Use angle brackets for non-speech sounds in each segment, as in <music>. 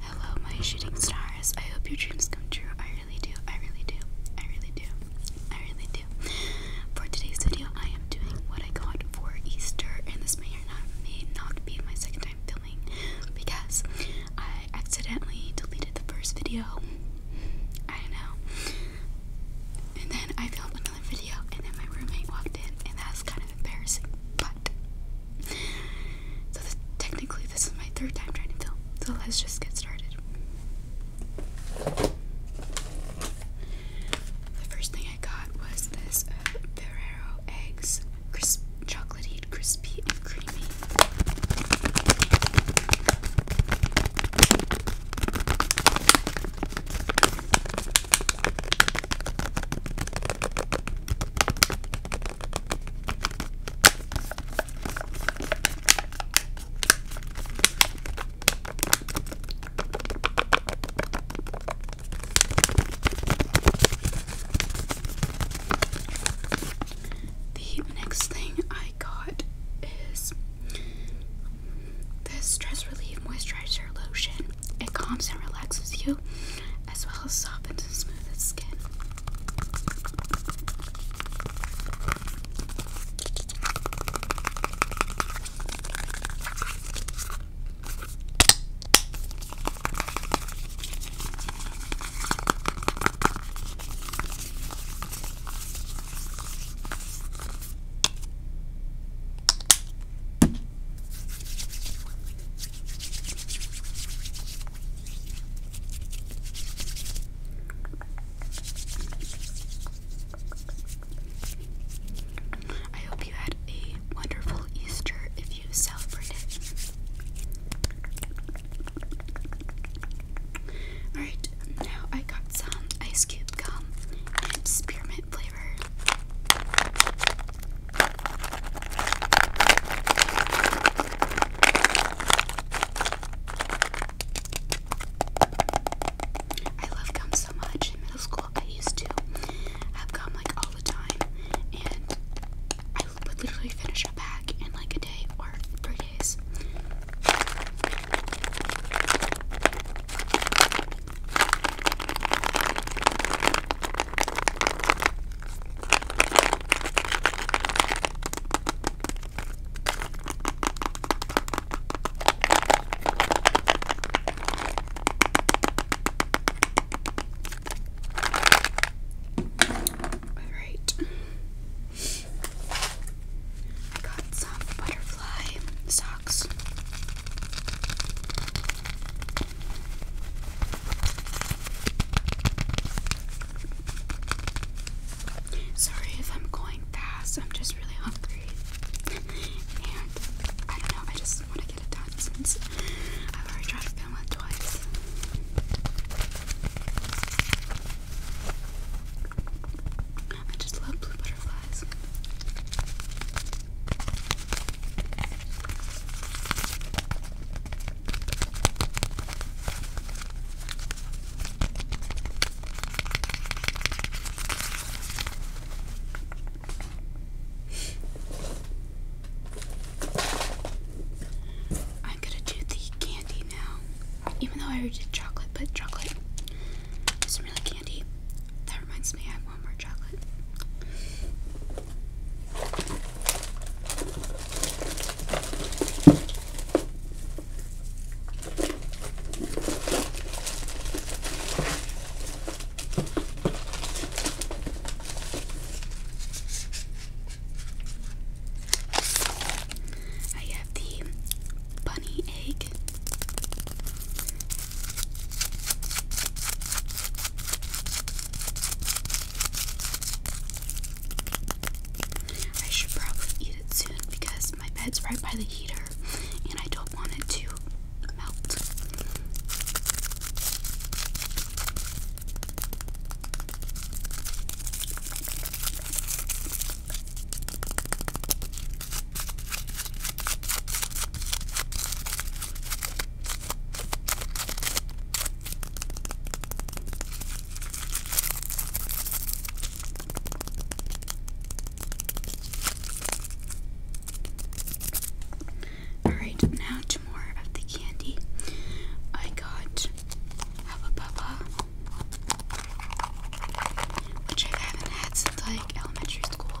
Hello, my shooting stars. I hope your dreams come true. I really do. I really do. I really do. I really do. For today's video, I am doing what I got for Easter, and this may or not may not be my second time filming because I accidentally deleted the first video. I don't know. And then I filmed another video, and then my roommate walked in, and that was kind of embarrassing. But so technically, this is my third time trying to film. So let's just get started. The first thing I got was this uh, Ferrero eggs, crisp, chocolatey, crispy, and creamy. The next thing I got is this stress relief moisturizer lotion. It calms and relaxes you as well as softens and smooth the skin. I hope you had a wonderful Easter if you celebrate Alright, now I got some ice cube gum and spearmint flavor. I love gum so much. In middle school, I used to have gum like all the time, and I would literally finish a pack in like a day or three days. Alright. I got some butterfly socks. Sorry if I'm going fast, I'm just really hungry. <laughs> and I don't know, I just want to get it done since I've already tried to film it twice. I just love blue butterflies. I'm gonna do the candy now. Even though I already did chocolate, but chocolate isn't really candy. That reminds me I have one more chocolate. I have the bunny egg. I should probably eat it soon because my bed's right by the heater and I don't want it to melt. Alright, now to more of the candy. I got Hubba Bubba, which I haven't had since like elementary school.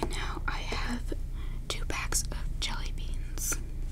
And now I have two packs of jelly beans.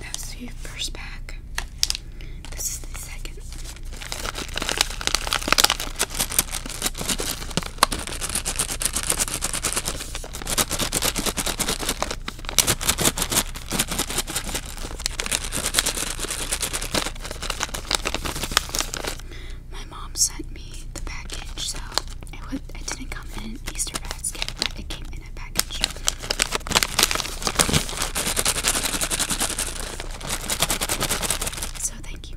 That's the first pack. This is the second. My mom sent me the package, so it, didn't come in an Easter basket, it came in a package. So thank you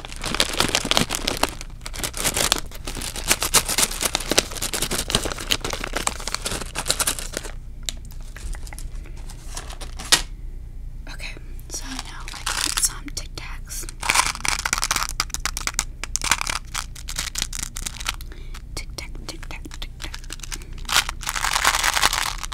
Okay, so now I got some Tic Tacs. Tic Tac, Tic Tac, Tic Tac.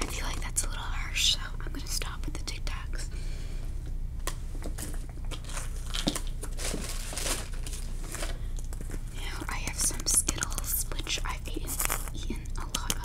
I feel like that's a little harsh, so I'm gonna stop with the tic tacs. Now I have some Skittles, which I've eaten, eaten a lot of.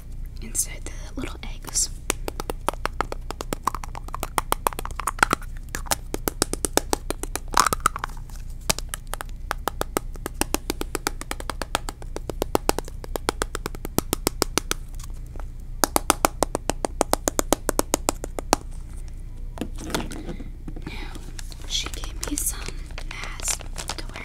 inside the little eggs. Now, she gave me some masks to wear.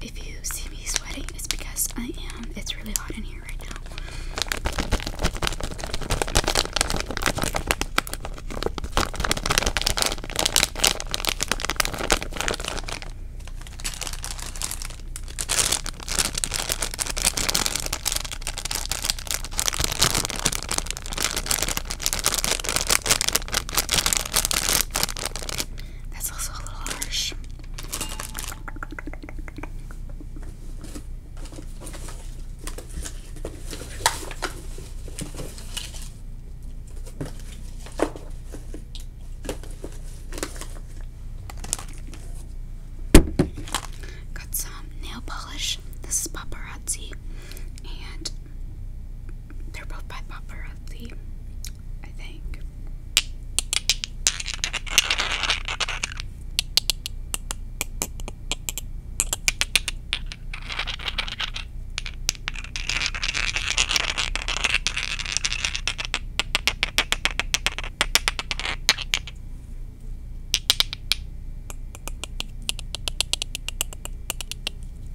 If you see me sweating, it's because I am. It's really hot in here right now. That's also a little harsh. Got some nail polish. This is paparazzi, and they're both by paparazzi. I think.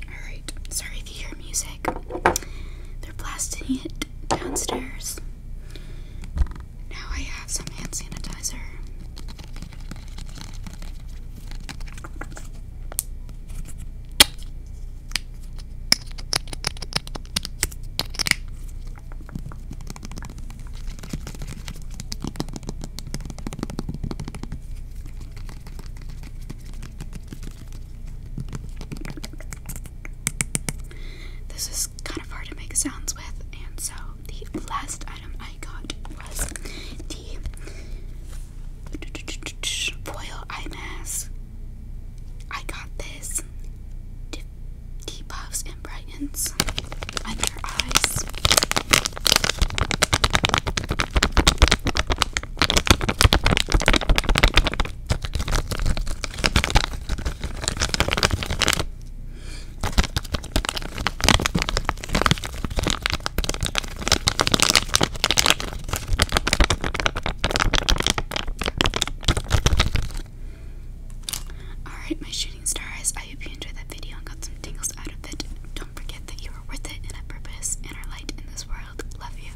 Alright, sorry if you hear music. They're blasting it downstairs. Now I have some hand sanitizer. This is kind of hard to make sounds with, and so the last item I got was the foil eye mask. I got this. Debuffs and brightens under eyes. Alright, my shooting stars, I hope you enjoyed that video and got some tingles out of it. Don't forget that you are worth it and a purpose and are light in this world. Love you.